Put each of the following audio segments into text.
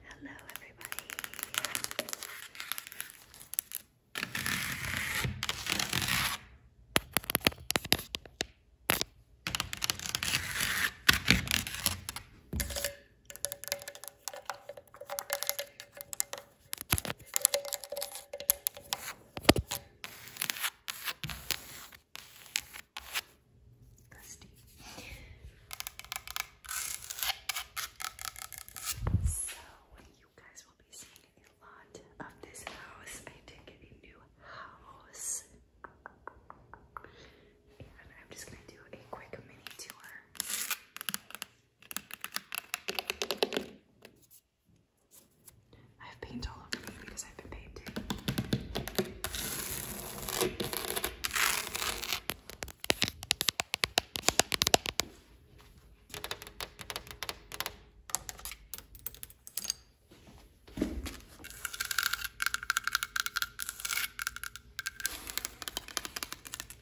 Hello, everybody. Dusty. So you guys will be seeing a lot of this house. I did get a new house. And I'm just gonna do a quick mini tour. I have paint all over me because I've been painting.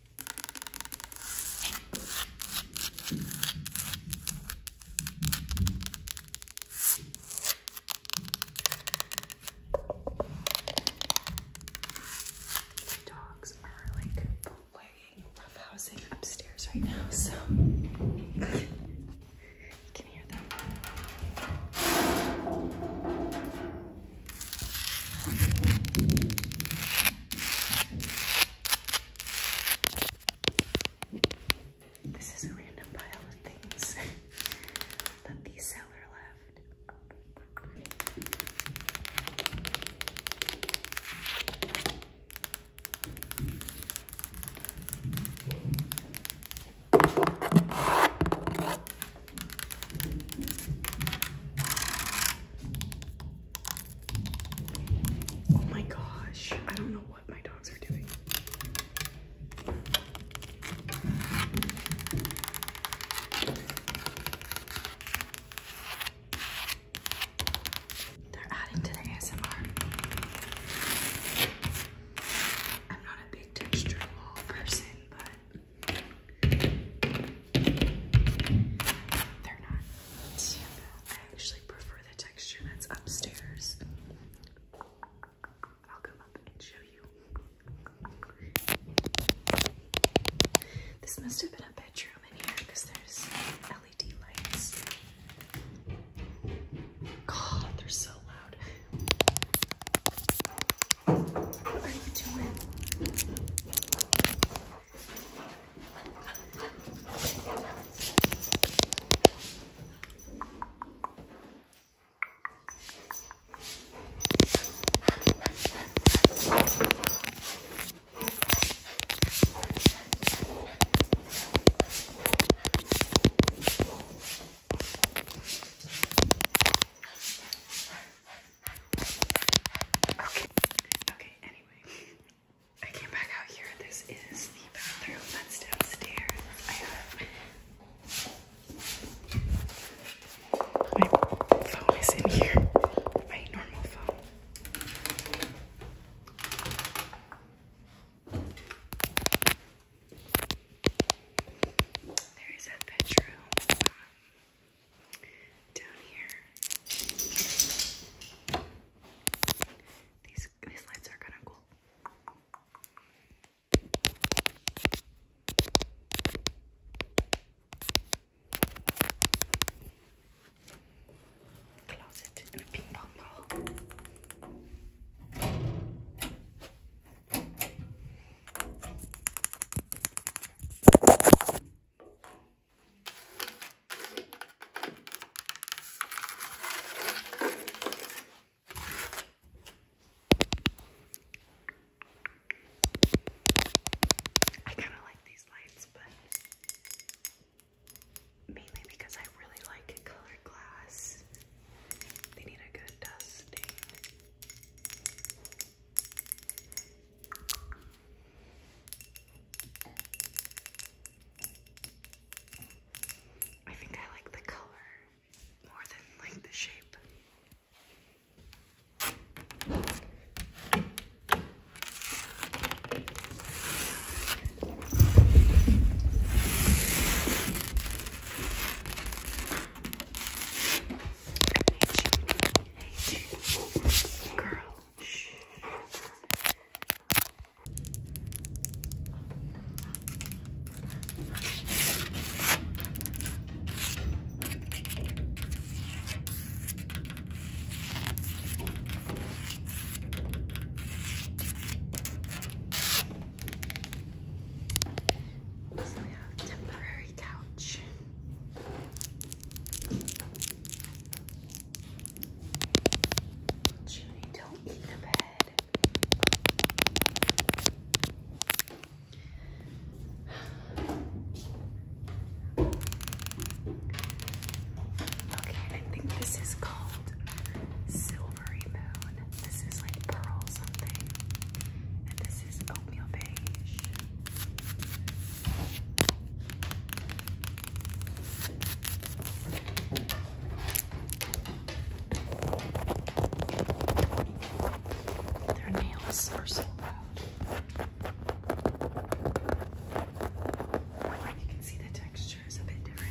The dogs are like playing rough housing upstairs right now, so you can hear them. This is a random pile of things that the seller left. Oh my gosh, I don't know what my dogs are doing. They're adding to the ASMR. I'm not a big texture person, but they're not I actually prefer the texture that's upstairs. I'll come up and show you. This must have been a bedroom in here there's LED lights. God, they're so loud. What are you doing? Okay, anyway, I came back out here. This is the bathroom that's downstairs. my phone is in here. My normal phone. There is a bedroom down here. These these lights are kind of cool. Closet and a ping pong ball. I kind of like these lights, mainly because I really like colored glass. They need a good dusting. I think I like the color more than like the shape. you. Girl. So we have temporary couch. Judy, don't eat the bed. Okay, I think this is called Silvery Moon. This is like pearl something. And this is oatmeal beige. Their nails are so loud. You can see the texture is a bit different.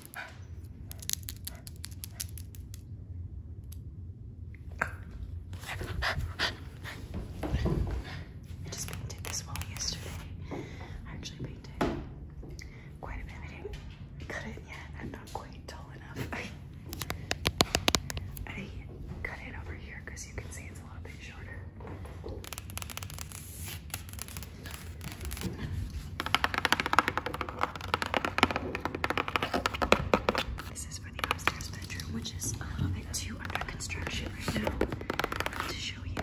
I just painted this wall yesterday. I actually painted quite a bit. I didn't cut it yet. I'm not quite tall enough. I cut it over here because you can see it's a little bit shorter. This is for the upstairs bedroom, which is a uh, little bit too under construction right now to show you.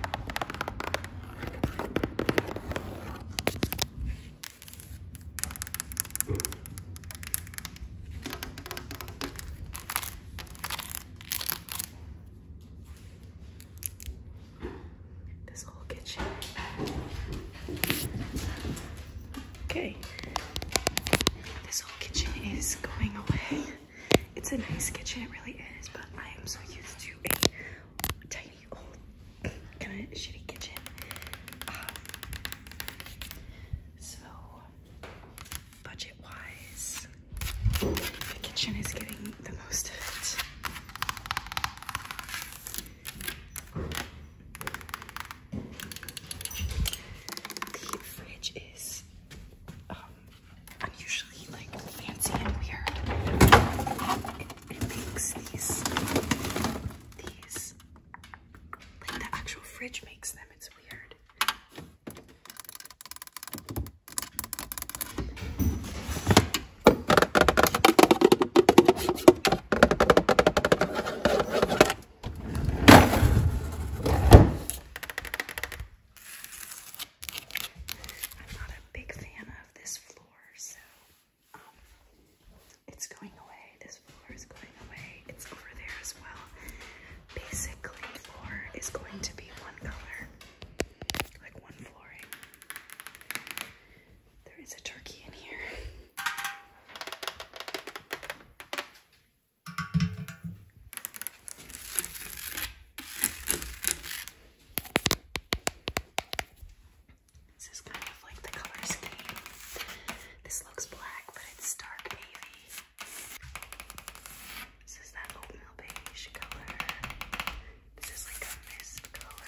This Okay, this whole kitchen is going away. It's a nice kitchen, it really is, but I am so used to a tiny old kind of shitty kitchen. so, budget wise, the kitchen is getting the most of it. The fridge is um, unusually like fancy and weird. It, it makes these, these, like the actual fridge makes them. It's weird. I'm not a big fan of this floor, so um, it's going away. This floor is going away. It's over there as well. Basically, floor is going to be one color, like one flooring. There is a turkey in here. This is kind of like the color scheme. This looks black, but it's dark navy. This is that oatmeal beige color. This is like a mist color.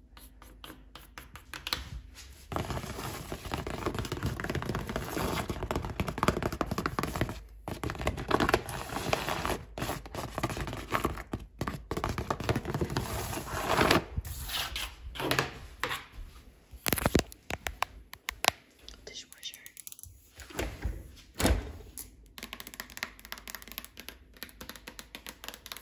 Dishwasher.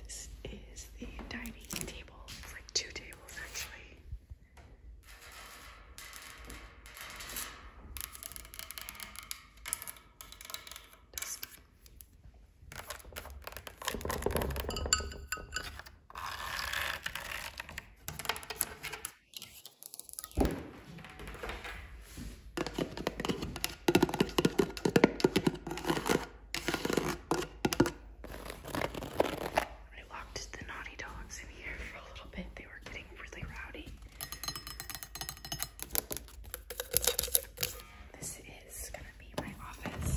This is the dining table. It's like two tables actually. Dusty I locked the naughty dogs in here for a little bit. They were getting really rowdy. This is gonna be my office.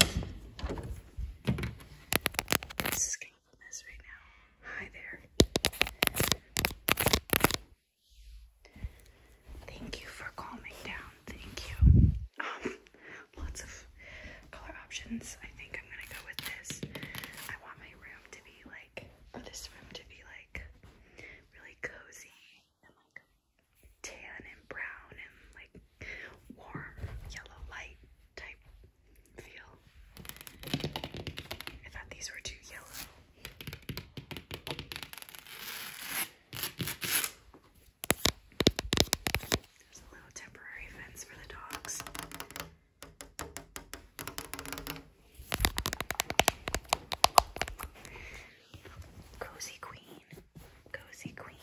This is getting a mess right now. Hi there. Thank you for calming down. Thank you. Um, lots of color options. I think I'm gonna go with this. I want my room to be like, or this room to be like really cozy tan and brown and like warm yellow light type feel. I thought these were too yellow. There's a little temporary fence for the dogs. Cozy Queen. Cozy Queen.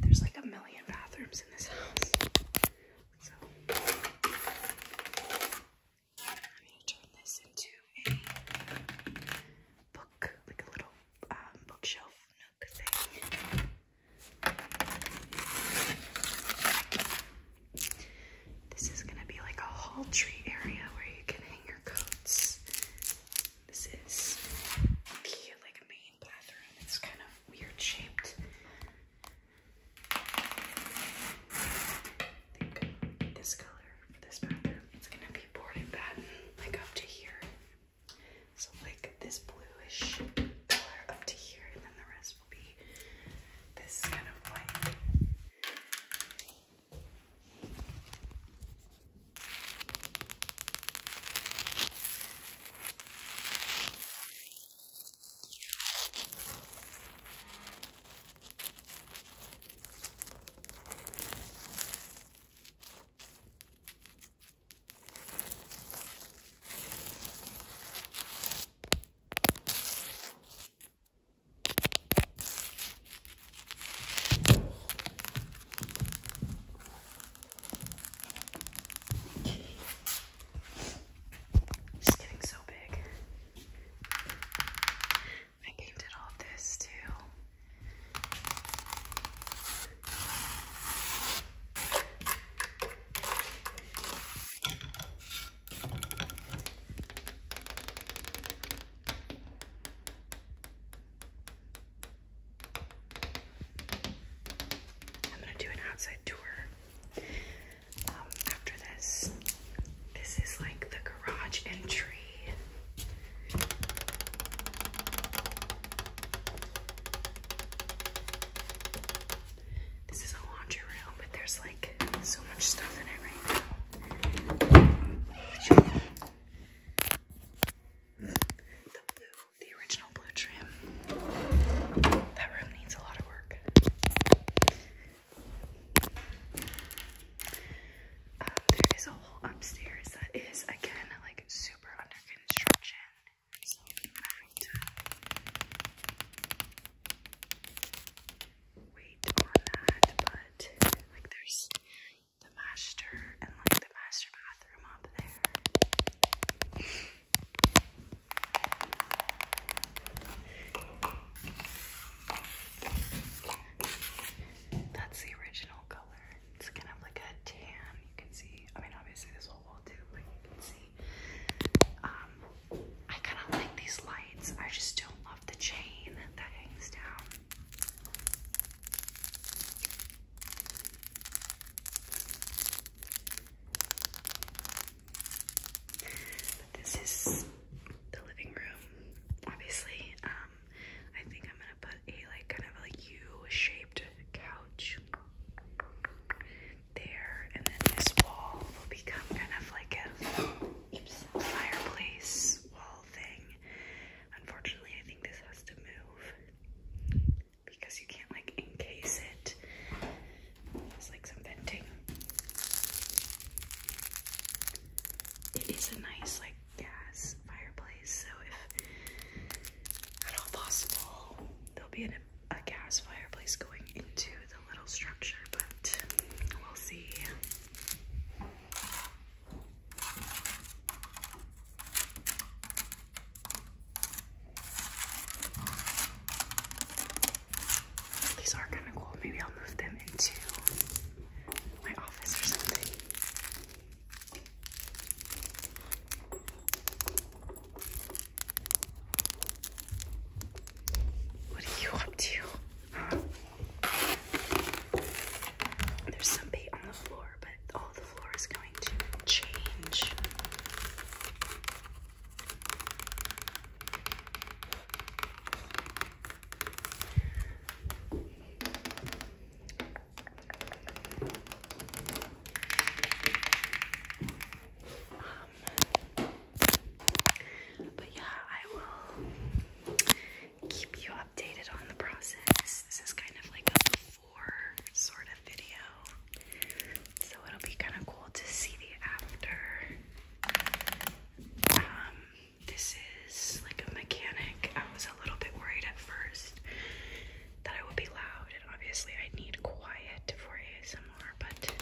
There's like a million bathrooms in this house. So I'm gonna turn this into a book, like a little um, bookshelf nook thing. This is gonna be like a hall tree area where you can hang your coats. This is the like main bathroom. It's kind of weird shaped. this color for this bathroom. It's gonna be board and batten, like up to here. So like this bluish color up to here, and then the rest this will be this kind of white. It's getting so big. I named it all this too. I'm gonna do an outside tour um, after this. This is like the garage entry. This is a laundry room, but there's like so much stuff in it right now. The blue, the original blue trim. That room needs a lot of work. Uh, there is a whole upstairs that is again like super under construction wait on that, but like there's the master and like the master bathroom up there. That's the original color. It's kind of like a tan. You can see. I mean, obviously this whole wall too, but you can see um, um, I kind of like these lights. I just don't love the chain that hangs down. this is the living room, obviously. Um, I think I'm gonna put a like kind of like U-shaped couch there, and then this wall will become kind of like a fireplace wall thing. Unfortunately, I think this has to move because you can't like encase it. It's like some venting. It is a nice like gas fireplace, so if at all possible, there'll be an a gas fireplace going into the little structure, but we'll see. These are kind of cool. Maybe I'll move them into my office or something. What are you up to? There's some bait on the floor, but all the floor is going to change. Um, but yeah, I will keep you updated on the process. This is kind of like a before sort of video. So it'll be kind of cool to see the after. Um, this is like a mechanic. I was a little bit worried at first that I would be loud, and obviously I need quiet for ASMR, but